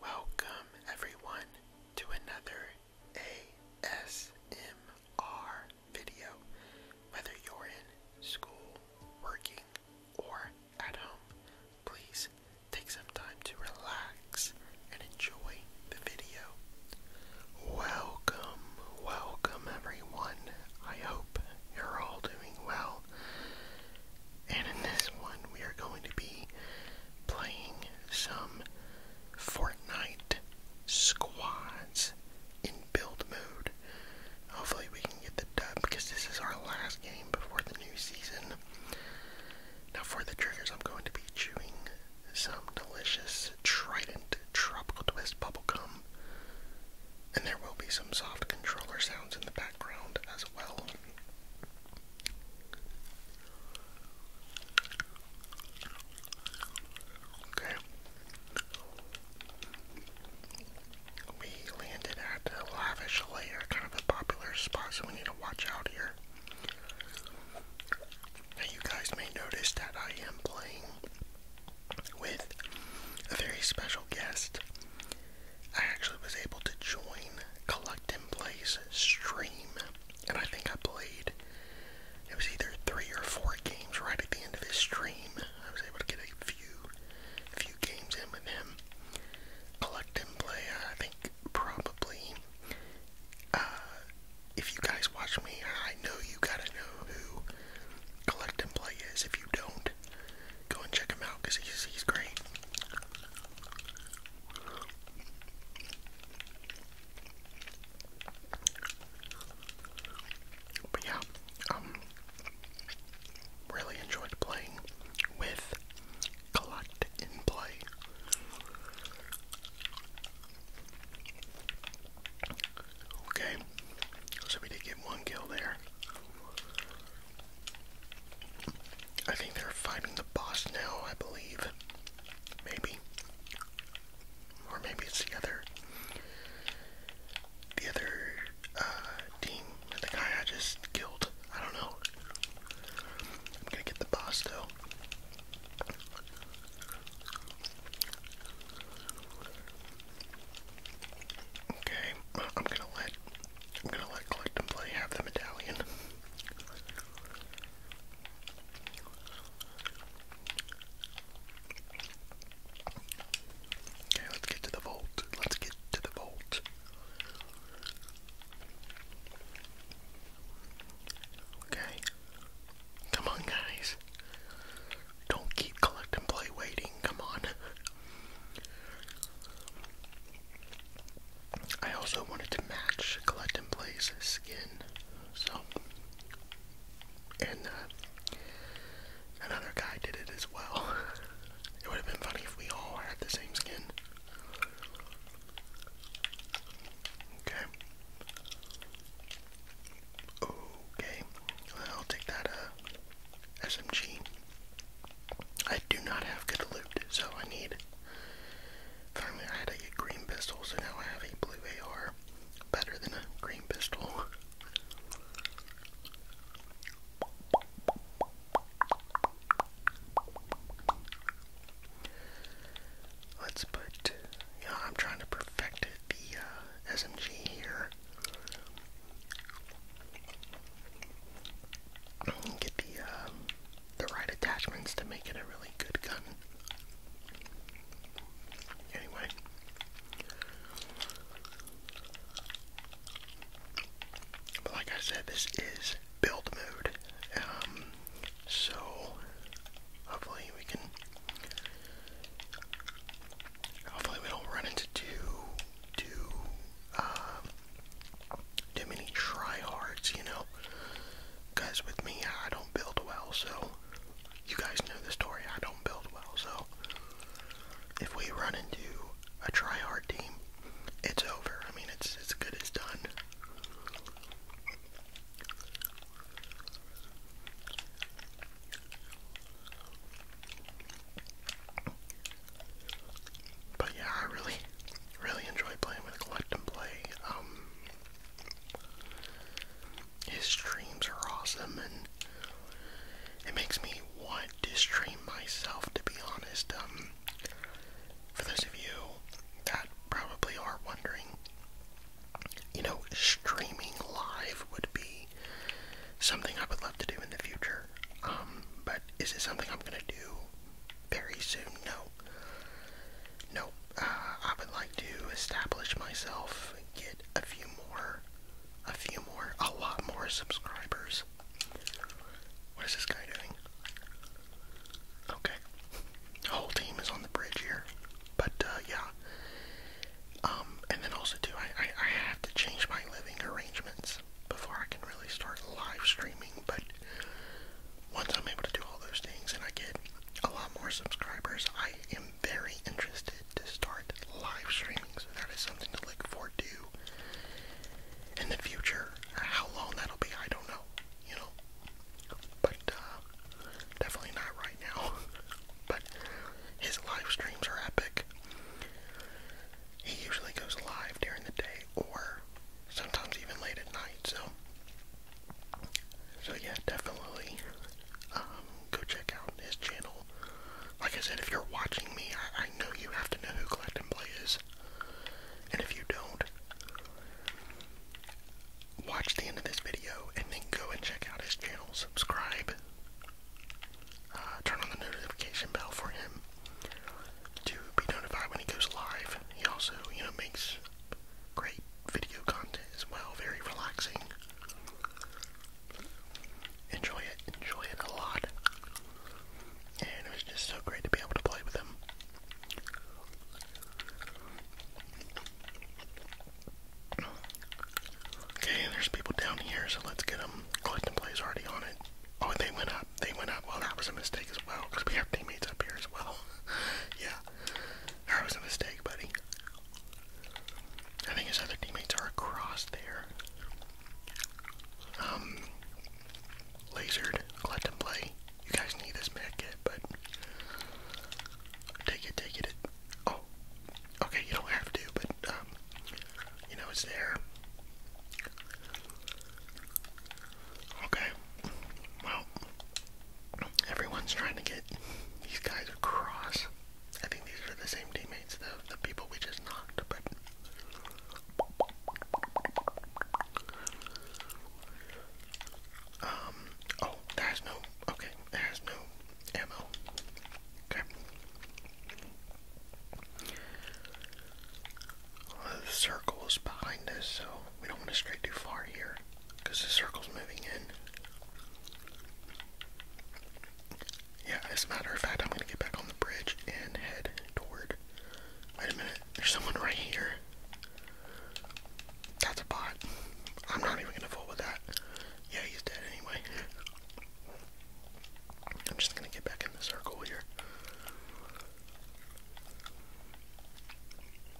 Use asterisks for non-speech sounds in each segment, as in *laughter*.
Welcome, everyone, to another ASMR video. Whether you're in school, working, or at home, please take some time to relax and enjoy the video. Welcome, welcome, everyone. I hope you're all doing well. And in this one, we are going to be playing some Fortnite squads in build mode. Hopefully, we can get the dub because this is our last game before the new season. Now, for the triggers, I'm going to be chewing some delicious Trident Tropical Twist bubblegum. And there will be some soft controller sounds in the background as well. Okay. We landed at the lavish layer, kind of a popular spot, so we need to watch out here. Now, you guys may notice that I am playing with a very special guest. I actually was able to join Collect and Play's stream, and I think I played, it was either three or four games right at the end of his stream. I was able to get a few, few games in with him. Collect and Play, I think probably, uh, if you guys watch me, I know you gotta know who Collect and Play is. If you don't, go and check him out because he's, he's great. But yeah, um, really enjoyed playing with Collect in Play. Okay, so we did get one kill there. I think they're fighting the boss now, I believe. Maybe. Or maybe it's the other the other uh, team the guy I just killed. I don't know. I'm gonna get the boss though. Okay, I'm gonna let I'm gonna let Collect Play have the medallion. Okay, let's get to the vault. Let's get to the vault. Okay. Come on, guys. Don't keep collecting play waiting. Come on. I also wanted to match Collect and Play's skin, so and uh, another guy did it as well. *laughs* It would have been funny if we all had the same skin. Okay. Okay. I'll take that uh, SMG. I do not have good loot, so I need. Finally, I had a green pistol, so now I have a blue AR. Better than a green pistol. Let's put. Yeah, I'm trying to perfect the uh, SMG here. Get the uh, the right attachments to make it a really good gun. Anyway. But like I said, this is build mode. Um, so hopefully we can hopefully we don't run into too too um, too many tryhards, you know. Guys, with me, I don't build well, so you guys know the story. I don't build well, so if we run into a tryhard team, it's over. I mean, it's as good as done. But yeah, I really, really enjoy playing with Collect and Play. Um, his streams are awesome, and it makes me want to stream myself, to be honest. Um, for those of you that probably are wondering, you know, streaming live would be something I would love to do in the future. Um, but is it something I'm gonna do very soon? No, no, uh, I would like to establish myself, get a few more, a few more, a lot more subscribers. What is this guy doing? Okay, the whole team is on the bridge here, but uh, yeah. Um, and then also too, I I have to change my living arrangements before I can really start live streaming but once I'm able to do all those things and I get a lot more subscribers, I am very interested to start live streaming, so that is something to look forward to in the future. How long that'll be, I don't know, you know, but uh, definitely not right now. *laughs* but his live streams are epic. He usually goes live during the day or sometimes even late at night. So, so yeah, definitely um, go check out his channel. Like I said, if you're watching me, I, know you have to know who Collect and Play is, and if you don't, watch the end of this video and then go and check out his channel. Subscribe. Uh, turn on the notification bell for him to be notified when he goes live. He also, you know, makes great video content as well, very relaxing. Enjoy it, enjoy it a lot. And it was just so great to be able to play with him. Okay, there's people down here, so let's get them. Clifton plays already on it. Oh, they went up. They went up. Well, that was a mistake as well, because we have teammates up here as well. *laughs* yeah, that was a mistake, buddy. I think his other teammates are across there. Um, lasered, collect and play. You guys need this med but take it, take it. Oh, okay, you don't have to, but um, you know it's there. Okay. Well, everyone's trying to get these guys across. I think these are the same teammates, the the people we just knocked, but um oh, that no okay, that no ammo. Okay the circle is behind us, so we don't want to stray too far here because the circle's moving in. Yeah, as a matter of fact, I'm gonna get back on the bridge and head toward. Wait a minute, there's someone right here. That's a bot. I'm not even gonna fool with that. Yeah, he's dead anyway. I'm just gonna get back in the circle here.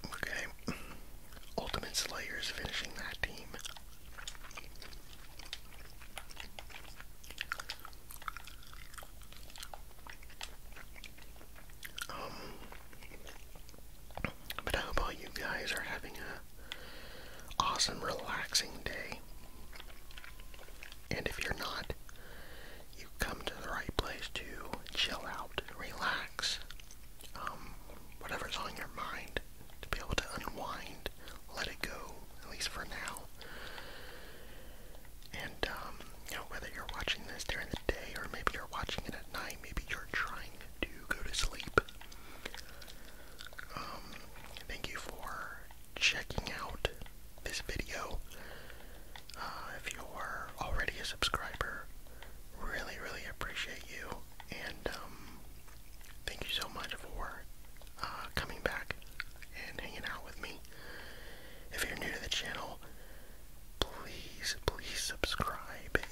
Okay. Ultimate Slayer is finishing that team. Um, but I hope all you guys are having a awesome, relaxing day. And if you're not, you come to the right place to chill out, relax, um, whatever's on your mind, to be able to unwind, let it go, at least for now. And, um, you know, whether you're watching this during the day or maybe you're watching it at night, maybe you're trying to go to sleep. Um, thank you for checking out this video. Uh, if you're already a subscriber, really, really appreciate you. And um, thank you so much for uh, coming back and hanging out with me. If you're new to the channel, please, please subscribe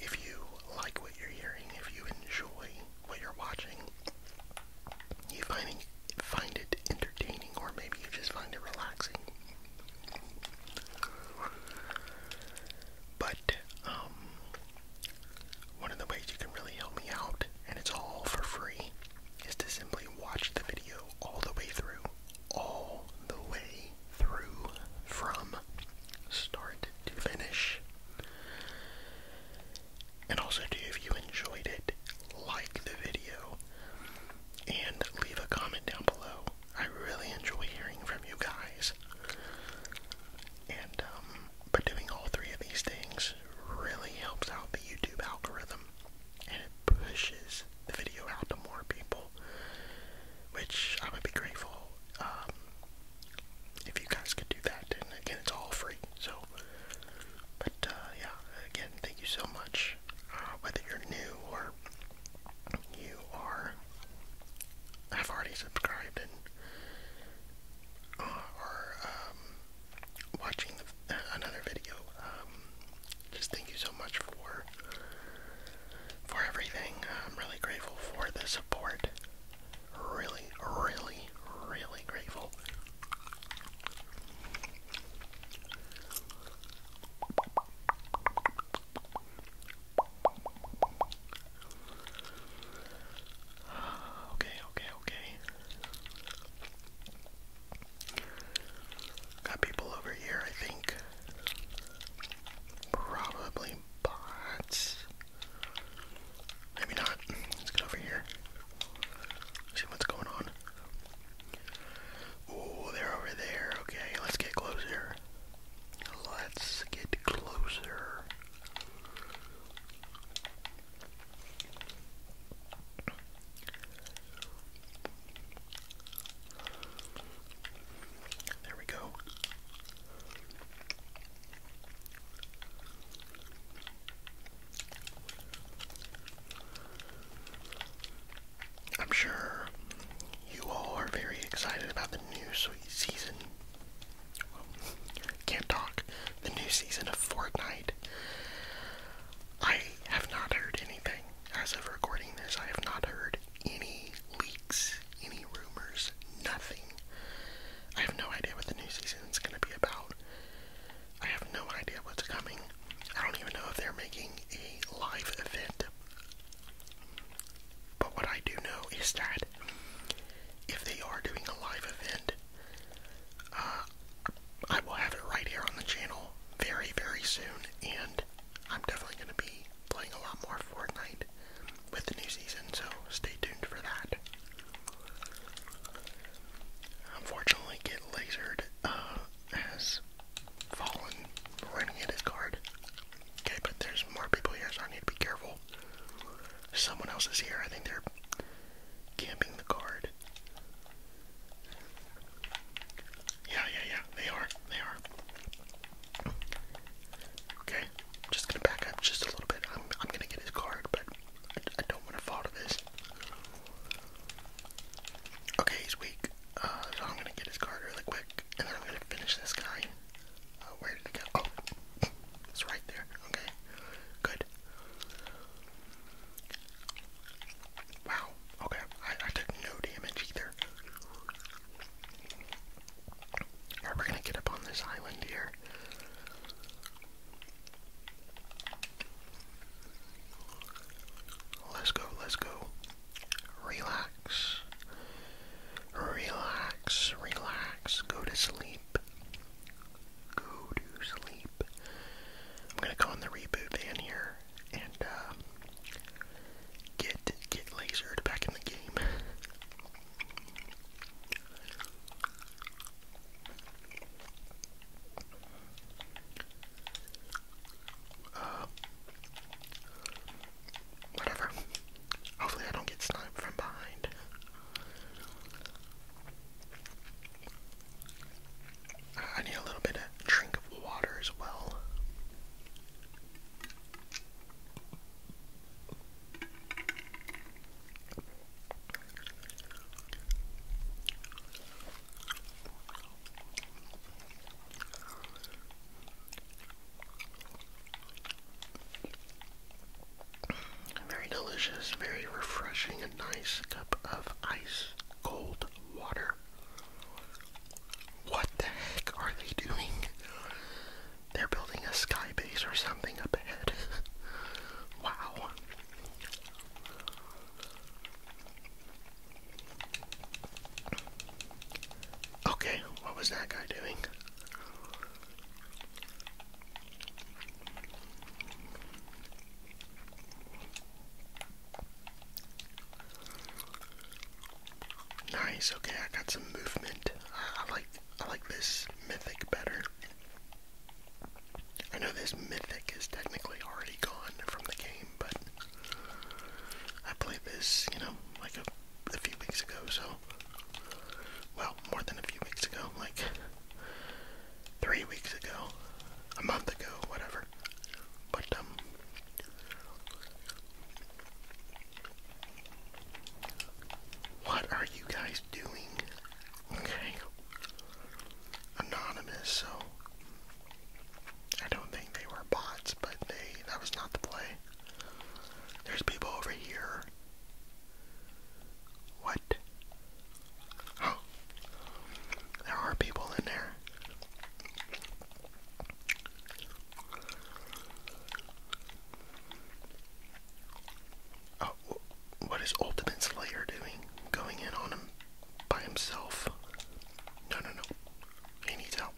if you like what you're hearing, if you enjoy what you're watching, you find it, find it entertaining, or maybe you just find it relaxing. But um, one of the ways you can really help me out, and it's all for free, is to simply watch the video all the way through. All the way through from start to finish. And also, too, if you enjoyed it, like the video, and leave a comment down below. I really enjoy hearing from you guys. And, um, but doing all three of these things really helps out the YouTube algorithm and it pushes the video out to more people, which I would be grateful um, if you guys could do that. And again, it's all free, so. But uh, yeah, again, thank you so much. Uh, whether you're new or you are have already subscribed and uh, are um, watching another video, um, just thank you so much for for everything. I'm really grateful for the support. Really, really, really grateful. Okay, okay, okay. Got people over here, I think. Probably bots. Maybe not. Let's get over here. See what's going on. Oh, they're over there. Okay, let's get closer. Let's get closer. There we go. I'm sure you all are very excited about the new season. can't talk. The new season of Fortnite. I have not heard anything. As of recording this, I have not heard any leaks, any rumors, nothing. I have no idea what the new season is going to be about. I have no idea what's coming. I don't even know if they're making a live event but what I do know is that if they are doing a live event, uh, I will have it right here on the channel very, very soon, and I'm definitely going to be playing a lot more Fortnite with the new season, so stay tuned for that. Unfortunately, Get Lasered uh, fallen renegade card. Okay, but there's more people here, so I need to be careful. Someone else is here. I think they're camping the card. Yeah, yeah, yeah. They are. They are. Okay, I'm just gonna back up just a little bit. I'm, gonna get his card, but I don't want to fall to this. Okay, he's weak. Uh, so I'm gonna get his card really quick, and then I'm gonna finish this guy. Uh, where did it go? Oh, *laughs* it's right there. Okay, good. Wow. Okay, I, took no damage either. we're gonna get up on this island here. Let's go, let's go relax, relax, relax, go to sleep, go to sleep. I'm gonna go in the reboot van here and um, get get lasered back in the game. Uh, whatever. Hopefully I don't get sniped from behind. I need a little bit of drink of water as well. Very delicious, very refreshing, a nice cup of ice cold water. What the heck are they doing? They're building a sky base or something up ahead. *laughs* wow. Okay, what was that guy doing? Nice, okay, I got some movement. I, like I like this mythic better. I know this mythic is technically already gone from the game, but I played this, you know, like a, few weeks ago, so. Well, more than a few weeks ago, like three weeks ago, a month ago, whatever. But, um. What are you guys doing? Okay. Anonymous, so I don't think they were bots, but they that was not the play. There's people over here. What? Oh. There are people in there. Oh, what is Ultimate Slayer doing? Going in on him by himself. No, no, no. He needs help.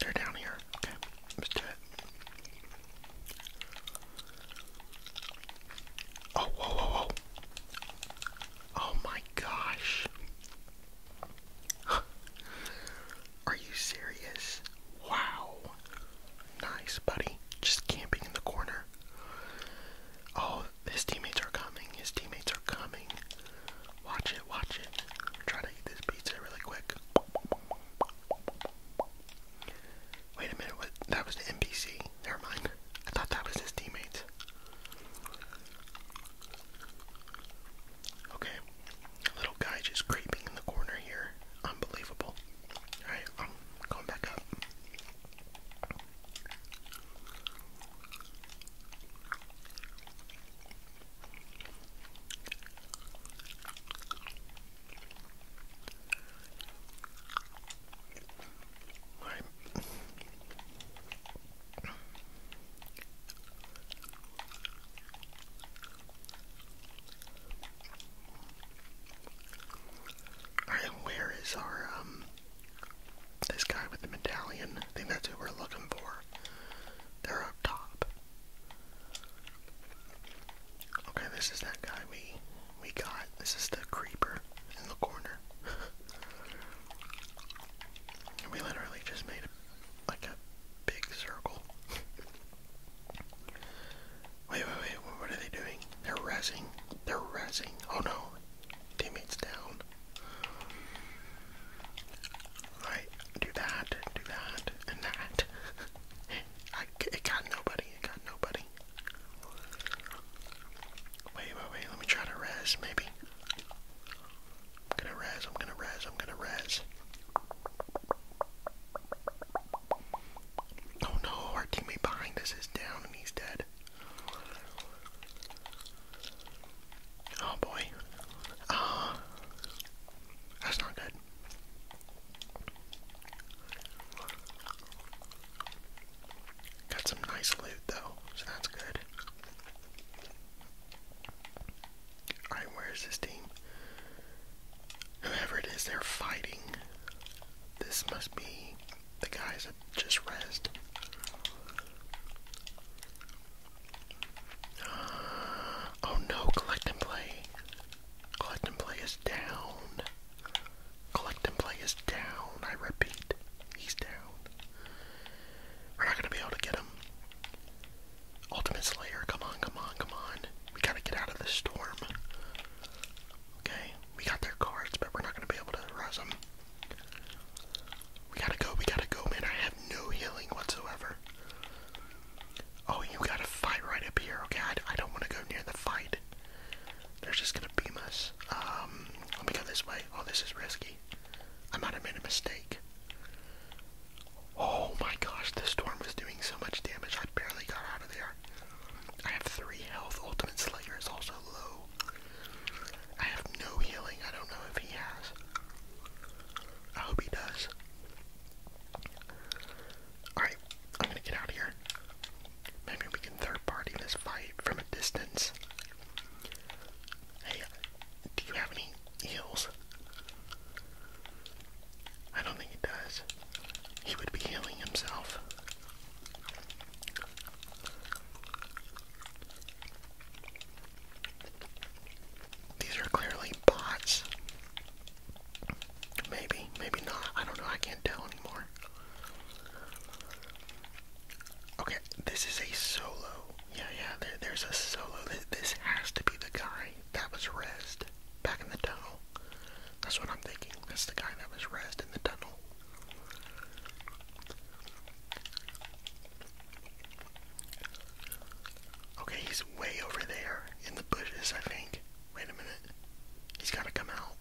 They're down here. let's do it. Oh, whoa, whoa, whoa. Oh my gosh. *laughs* Are you serious? Wow. Nice, buddy. Just camping in the corner. Oh, his teammates are coming. His teammates are coming. Watch it, watch it. Try to eat this pizza really quick. Wait a minute, what? That was the NPC. Never mind. I thought that was his teammates. Okay, little guy just creeping in the corner here. Unbelievable. Alright, I'm going back up. Right. Alright, where is our um this guy with the medallion, I think that's who we're looking for. They're up top. Okay, this is that guy we we got. This is the creeper in the corner. *laughs* we literally just made a, like a big circle. *laughs* wait, wait, wait. What are they doing? They're rezzing. They're rezzing. Oh no. Teammates down. Right, do that, do that, and that. *laughs* I, it got nobody, it got nobody. Wait, wait, wait, let me try to res, maybe. I'm gonna res, I'm gonna res, I'm gonna res. Oh no, our teammate behind us is down and he's dead. Oh boy. Ah. that's not good. Got some nice loot though, so that's good. Alright, where is this team? Whoever it is, they're fighting. This must be the guys that just rested. *gasps* oh no, collect and play. Collect and play is down. Collect and play is down. I repeat, he's down. We're not gonna be able to get him. Ultimate Slayer, come on, come on, come on. We gotta get out of this storm. Okay, we got their cards, but we're not gonna be able to rise them. We gotta go, we gotta go, man. I have no healing whatsoever. Oh, you gotta fight right up here. Okay, I, don't wanna go near the fight. They're just gonna beam um, us. let me go this way. Oh, this is risky. I might have made a mistake. Oh my gosh, this storm was doing so much damage. I barely got out of there. I have three health. Ultimate Slayer is also low. I have no healing. I don't know if he has. I hope he does. Alright, I'm gonna get out of here. Maybe we can third party this fight from a distance. Hey, do you have any heals? I don't think he does. He would be healing himself. These are clearly bots. Maybe, maybe not. I don't know. I can't tell anymore. Okay, this is a solo. Yeah, yeah, there's a solo. This, has to be the guy that was rezzed back in the tunnel. That's what I'm thinking. That's the guy that was rezzed in the tunnel. Okay, he's way over there in the bushes, I think. Wait a minute. He's got to come out.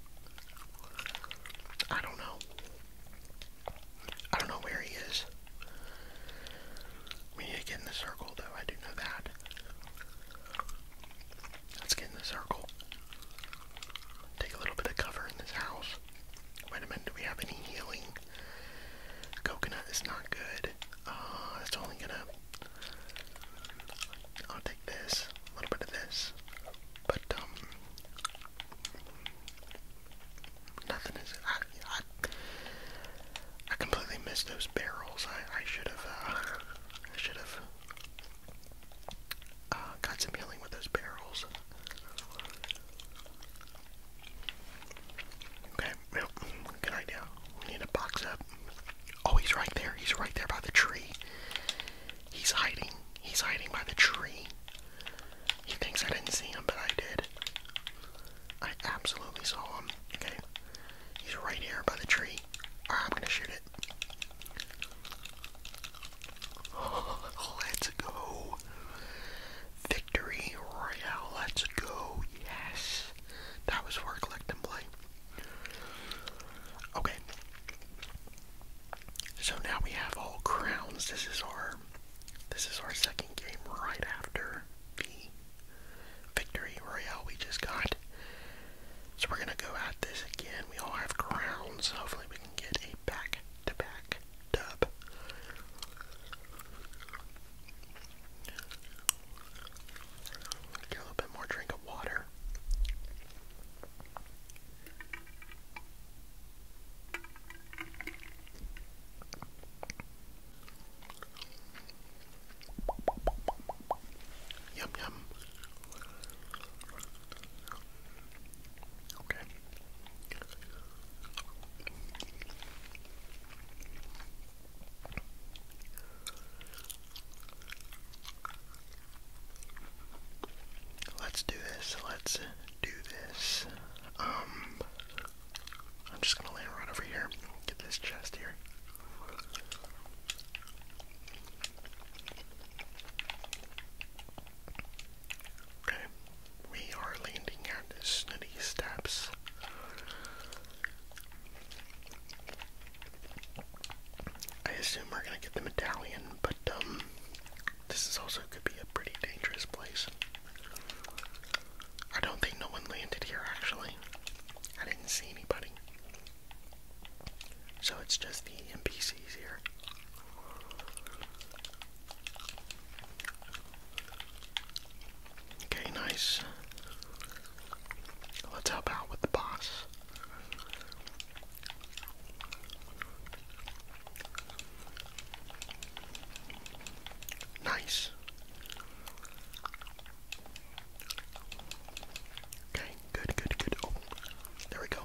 I don't know. I don't know where he is. We need to get in the circle, though. I do know that. Let's get in the circle. Take a little bit of cover in this house. Wait a minute, do we have any healing? Coconut is not good. Uh, it's only gonna... I'll take this, a little bit of this. But, um, Nothing is... I, I, completely missed those barrels. I, I should have, uh, I should have uh, got some healing with those barrels. Okay, well, good idea. We need to box up. Oh, he's right there. He's right there by the tree. He's hiding. He's hiding by the tree. He thinks I didn't see him, but I did. I absolutely saw him. Okay. He's right here by the tree. I'm gonna shoot it. *laughs* Let's go. Victory Royale. Let's go. Yes. That was for collecting play. Okay. So now we have all crowns. This is our this is our second game right after the victory royale we just got. So we're gonna go at this again. We all have crowns. Hopefully we can get a back to back dub. Get a little bit more drink of water. Yum yum. Okay. Let's do this. Let's do this. Um, I'm just gonna land right over here. Get this chest here. Okay we are landing at Snitty Steps. I assume we're gonna get the medallion, but um, this is also could be a pretty dangerous place. I don't think no one landed here actually. I didn't see anybody. So it's just the NPCs here. Okay, nice. Let's help out with the boss. Nice. Okay, good, good, good. Oh, there we go.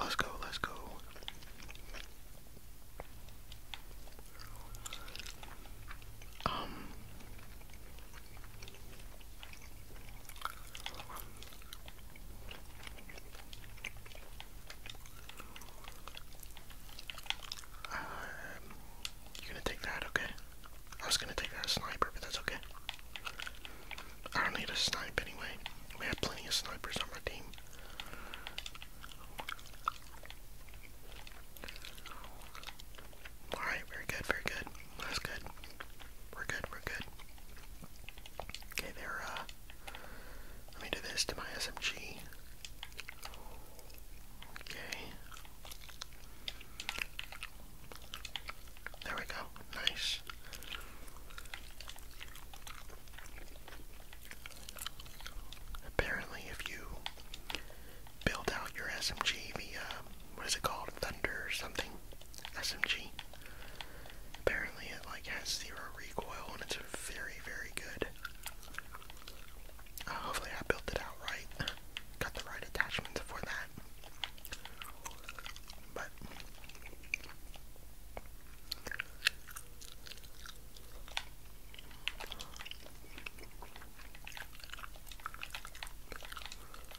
Let's go, let's go. Um, um, you're gonna take that, okay? I was gonna take that sniper, but that's okay. I don't need a snipe anyway. We have plenty of snipers on my team. Alright, very good, very good. That's good. We're good, we're good. Okay, there, uh, let me do this to my SMG. Okay. There we go. Nice. Apparently, if you build out your SMG via, what is it called, Thunder or something, SMG, apparently it like has zero recoil and it's very, very good. Uh, hopefully I built it out right, got the right attachments for that. But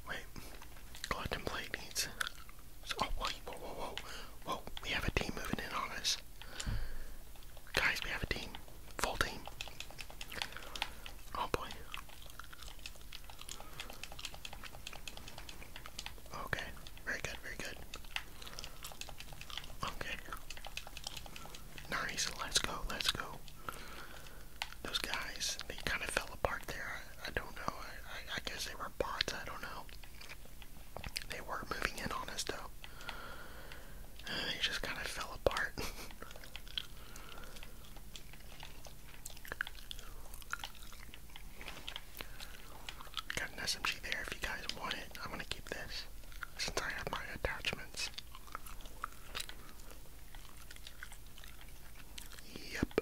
wait, contemplate needs. Oh whoa, whoa, whoa, whoa! We have a team moving in on us, guys. We have a team, full team. Oh boy. Okay, very good, very good. Okay. Nice, let's go, let's go. Those guys, they kind of fell apart there. I, don't know. I, guess they were bots, I don't know. They were not moving in on us, though. Uh, they just kind of fell apart. *laughs* Got an SMG there if you guys want it. I'm gonna keep this since I have my attachments. Yep.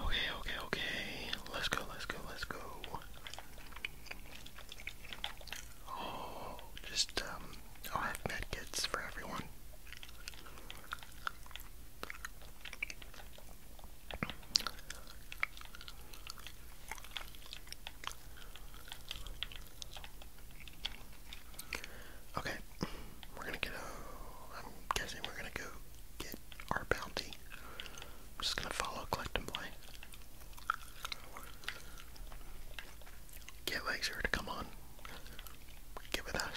Okay, okay, okay. Let's go, let's go, let's go. Oh, just, um, I'll have medkits for everyone. Okay, we're gonna get a. I'm guessing we're gonna go get our bounty. I'm just gonna follow, collect, and play. Get Laser to come on. Get with us.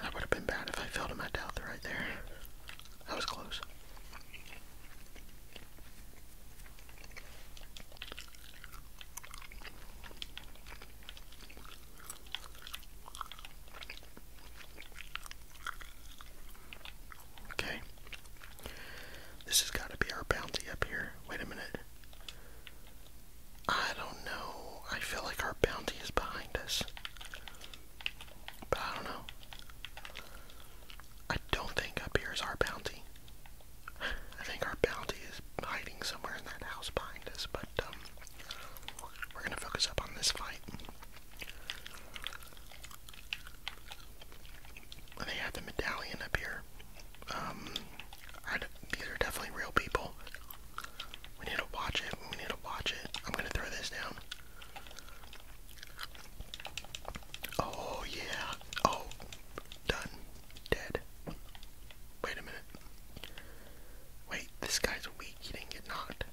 That would have been bad if I fell to my death right there. That was close. Okay. This has got to be our bounty up here. Wait a minute. I don't know. I feel like our bounty is behind us. But I don't know. I don't think up here is our bounty. *sighs* I think our bounty is hiding somewhere in that house behind us, but um we're gonna focus up on this fight. They have the medallion up here. Um, these are definitely real people. We need to watch it. We need to watch it. I'm gonna throw this down. Oh yeah. Oh, done. Dead. Wait a minute. Wait, this guy's weak. He didn't get knocked.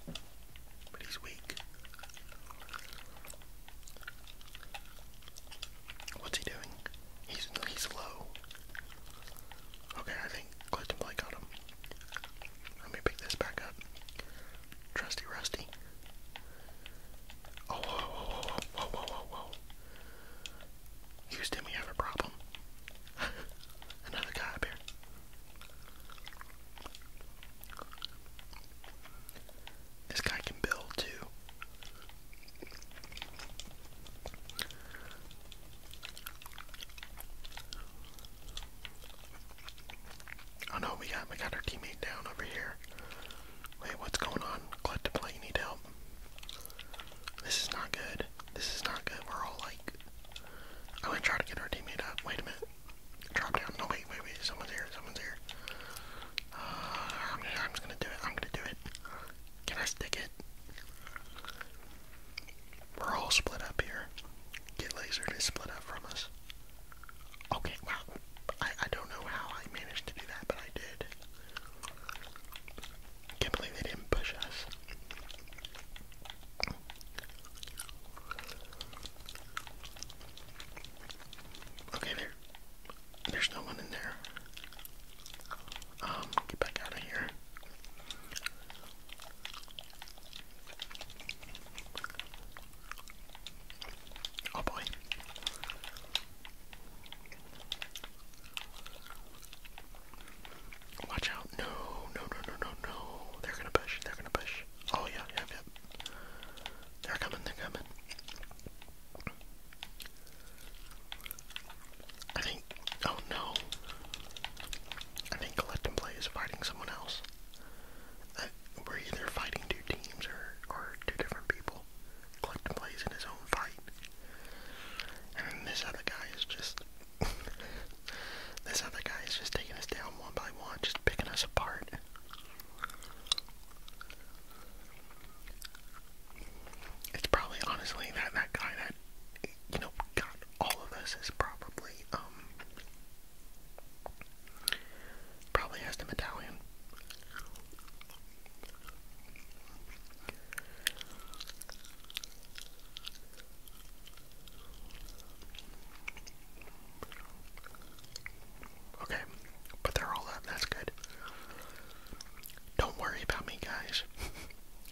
But he's weak. What's he doing? He's he's low. Okay, I think Clifton Blake got him. Let me pick this back up. Trusty Rusty. Oh, whoa, whoa, whoa, whoa, whoa, whoa, whoa. Houston, we have a problem. *laughs* Another guy up here. This guy can build too. Oh no, we got we got our teammate down over here. Wait, what's going on? Collective you need help. This is not good. This is not good. We're all like I'm gonna try to get our teammate up. Wait a minute. Drop down. No, wait, wait, wait. Someone's here. Someone's here. Uh, I'm, just gonna do it. I'm gonna do it. Can I stick it? We're all split up here. Get lasered is split up from us. Okay, wow. I, I don't know how I managed to do that, but I did. Can't believe they didn't push us. Okay, there. There's no one in there. Um, get back out of here. Oh boy. Watch out. No, no, no, no, no, no. They're gonna push. They're gonna push. Oh, yeah, yeah, yeah. They're coming, they're coming. I think. Oh, no. I think Collect and Play is fighting someone else. Uh, we're either fighting two teams or, or two different people. Collect and Play is in his own fight. And then this other guy is just *laughs* this other guy is just taking us down one by one, just picking us apart. It's probably honestly that that guy that you know got all of us is probably um probably has the medallion. Okay, but they're all up, that's good. Don't worry about me, guys. *laughs*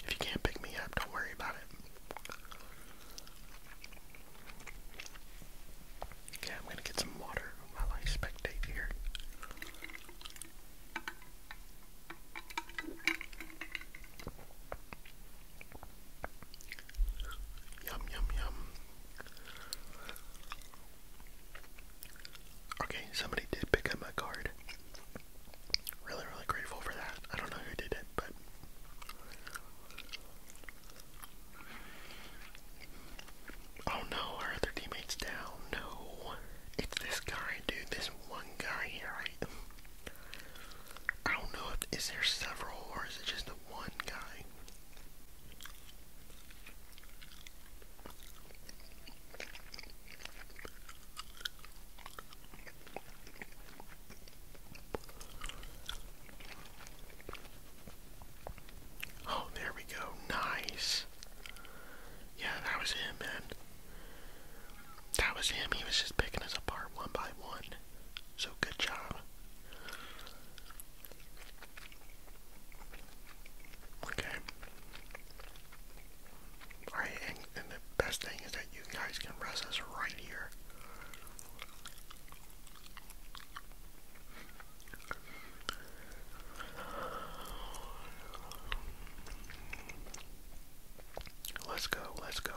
if you can't pick me up, don't worry about it. Okay, I'm gonna get some water while I spectate here. Yum, yum, yum. Okay, somebody did pick up my card. Really, really grateful for that. I don't know who did it, but. Oh no, our other teammate's down. No. It's this guy, dude. This one guy here. Right? I don't know if is there several or is it just the one guy? Oh, there we go. Nice. Yeah, that was him, man. That was him. He was just picking us apart one by one. So good job. Okay. Alright, and, the best thing is that you guys can rest us right here. Let's go, let's go.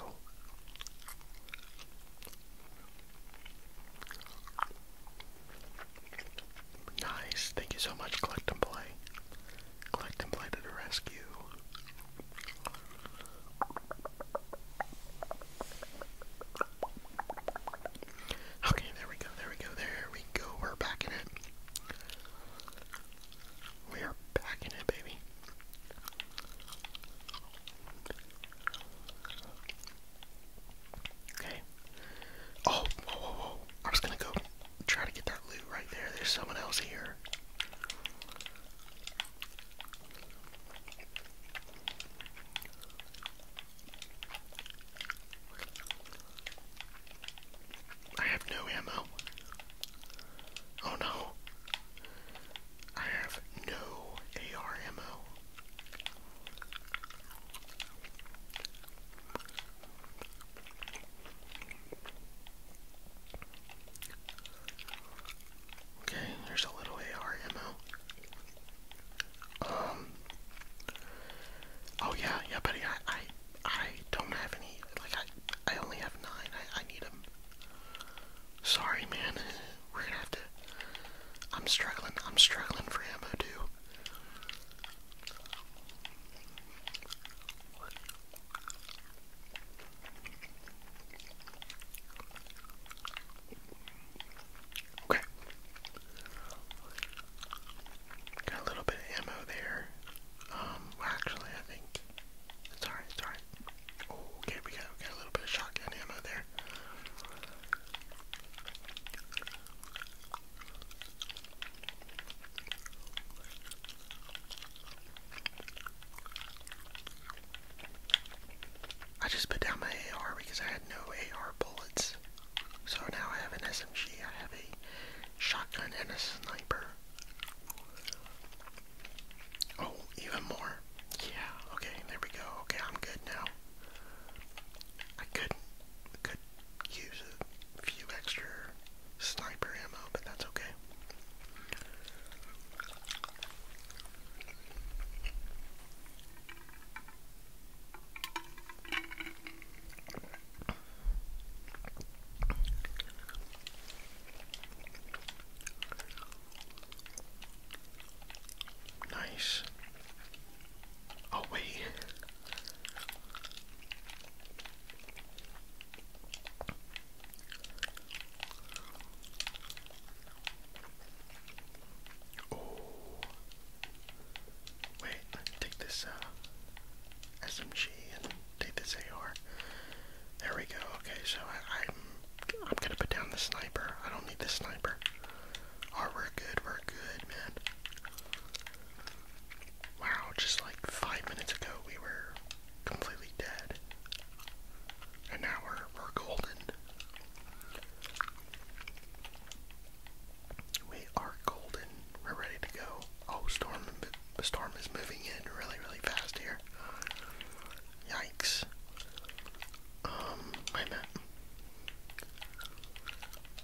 Nice. Thank you so much, Collect and Play. Collect and Play to the rescue. Okay, there we go, there we go, there we go. We're back in it. We are back in it, baby. Okay. Oh, whoa, whoa, whoa. gonna go try to get that loot right there. There's someone else here. I have no ammo. Oh no. I have no AR Okay, there's a little A R M O. Um. Oh yeah, yeah, buddy. I, I, I don't have any. Like I, I only have nine. I, I need them. Sorry, man. We're gonna have to. I'm struggling. I'm struggling for ammo, too. Okay. Got a little bit of ammo there. Um, actually, I think. It's alright, Okay, we got, got a little bit of shotgun ammo there. I just put down my AR because I had no AR bullets. So now I have an SMG, I have a shotgun, and a sniper. Oh, even more. Yeah, okay, there we go. Okay, I'm good now. I could could use a few extra sniper ammo, but that's okay. Nice. Oh, wait. Oh. Wait, take this uh, SMG and take this AR. There we go. Okay, so I, am I'm gonna put down the sniper. I don't need the sniper. Oh, we're good. We're good, man. Wow, just like five minutes ago we were completely dead, and now we're we're golden. We are golden. We're ready to go. Oh, storm storm is moving in really really fast here. Yikes. Um,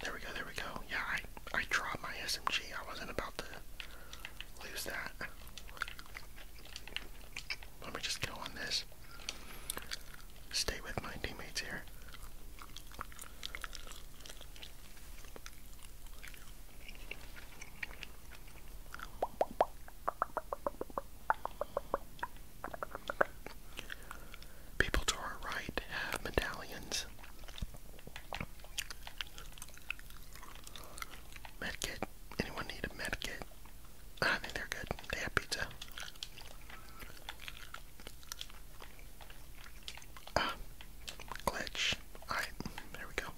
There we go, there we go. Yeah, I, I dropped my SMG. I wasn't about to lose that. Let me just go on this. Stay with my teammates here. People to our right have medallions. Medkit. Anyone need a medkit? Ah, I think they're good. They have pizza. Ah, glitch. Alright, there we go.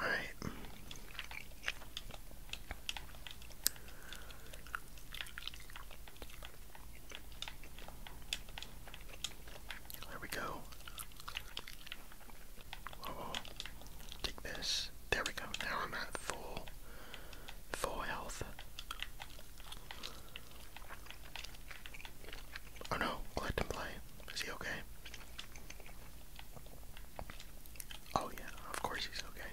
All right. There we go. Whoa, Take this. There we go. Now I'm at full, full health. Oh no, clicked and play. Is he okay? Oh yeah, of course he's okay.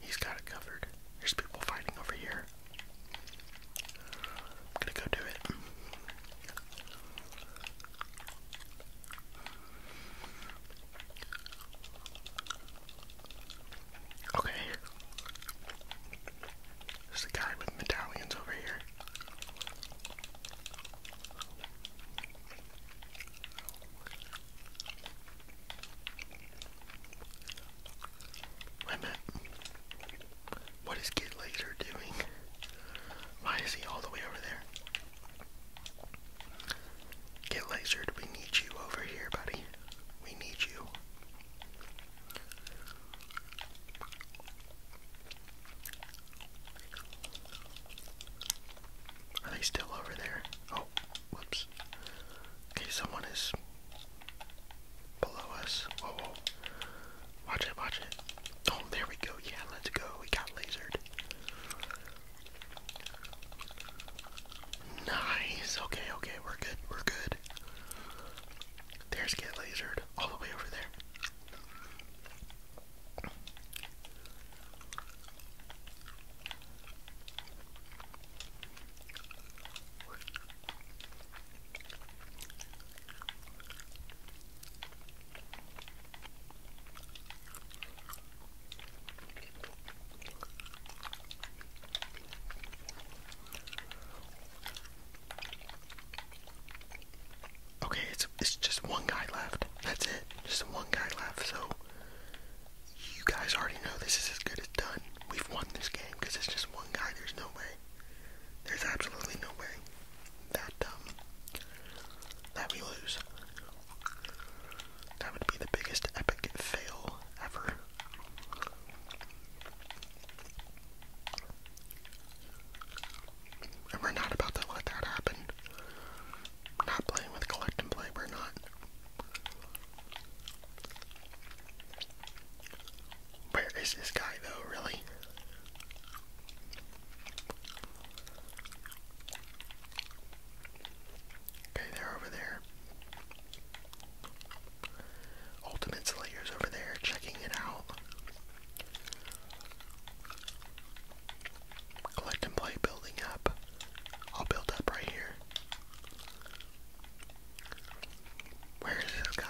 He's got it covered. There's people fighting over here. I'm gonna go do it. Okay. There's a guy with medallions over here. What is Kid Laser doing? Why is he all the way over there? Get lasered. We need you over here, buddy. We need you. Are they still over there? Oh, whoops. Okay, someone is below us. Oh, whoa. Watch it, watch it. Oh, there we go. Yeah, let's go. We got lasered. Nice. Okay, okay, we're good. We're good. There's Get Lasered all the way over there. Okay, it's it's just one guy left. That's it. Just one guy left. So you guys already know this is as good as done. We've won this game because it's just one guy. There's no way. There's absolutely no way that um, that we lose. That would be the biggest epic fail ever. And we're not about to let that happen. Not playing with collect and play, we're not. Where is this guy though, really? Okay, they're over there. Ultimate Slayer's over there, checking it out. Collect and play, building up. I'll build up right here. Where is this guy?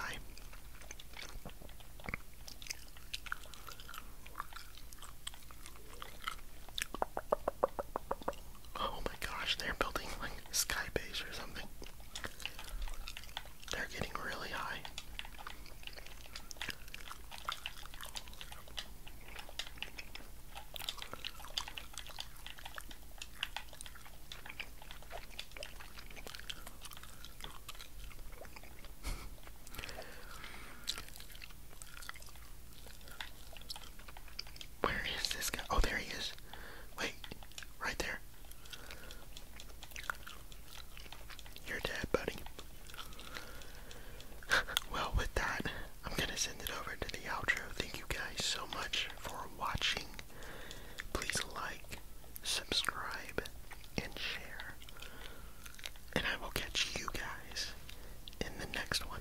Oh my gosh, they're building like skybase or something. They're getting really high. Where is this guy? Oh, there he is. Wait, right there. You're dead, buddy. *laughs* well, with that, I'm gonna send it over to the outro. Thank you guys so much for watching. Please like, subscribe, and share. And I will catch you guys in the next one.